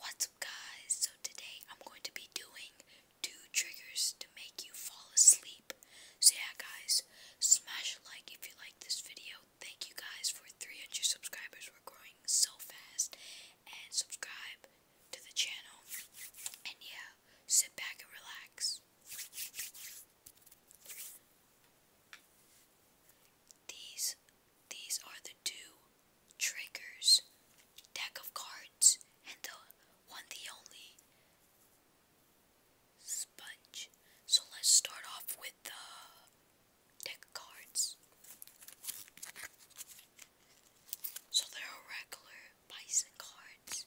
What's up, guys? So, today I'm going to be doing two triggers to make you fall asleep. So, yeah, guys, smash like if you like this video. Thank you guys for 300 subscribers. We're growing so fast and subscribe to the channel. And yeah, sit back and relax. These these are the two triggers, deck of cards, and the one the only sponge. So let's start off with the deck of cards. So there are regular bison cards.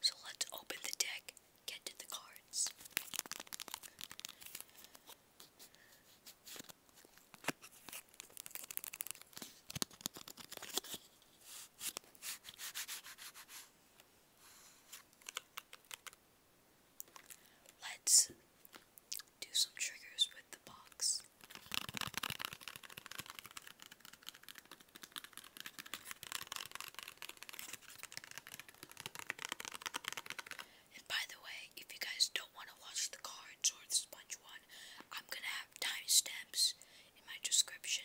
So let's open the deck, get to the cards. Let's do some triggers with the box. And by the way, if you guys don't want to watch the cards sponge one, I'm gonna have timestamps in my description.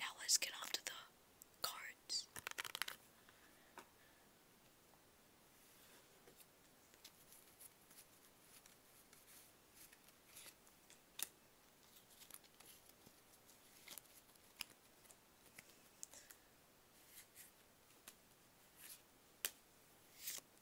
Now let's get on to the cards.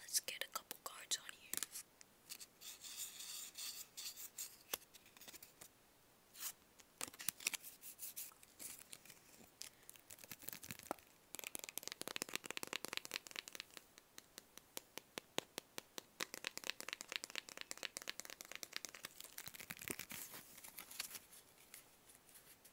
Let's get a couple cards on here.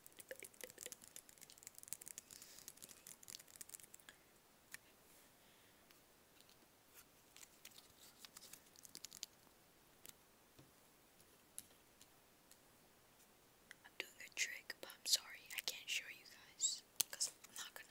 I'm doing a trick, but I'm sorry I can't show you guys because I'm not gonna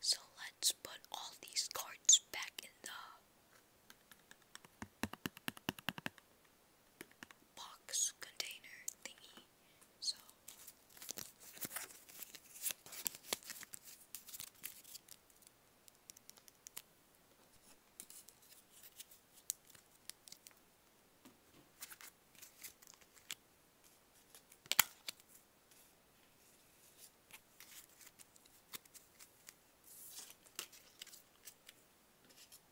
So let's put all these cards back in the box container thingy. So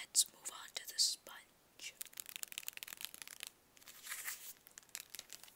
Let's move on to the sponge.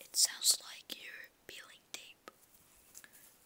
it sounds like you're feeling deep.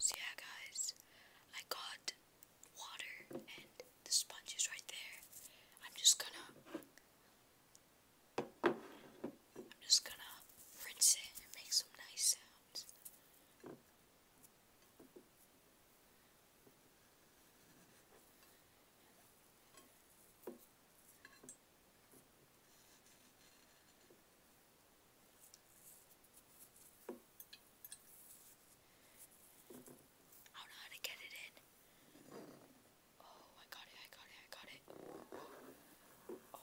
So yeah guys, I got water and the sponge is right there. I'm just gonna I'm just gonna rinse it and make some nice sounds. I don't know how to get it in. Oh, I got it, I got it, I got it. Oh. Oh.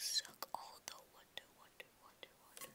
Suck all the water, water, water, water.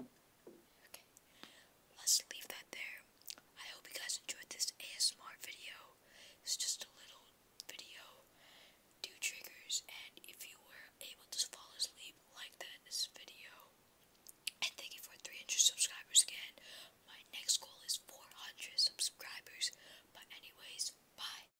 Okay, let's leave that there. I hope you guys enjoyed this ASMR video. It's just a little video, do triggers, and if you were able to fall asleep like that in this video, and thank you for 300 subscribers again. My next goal is 400 subscribers. But anyways, bye.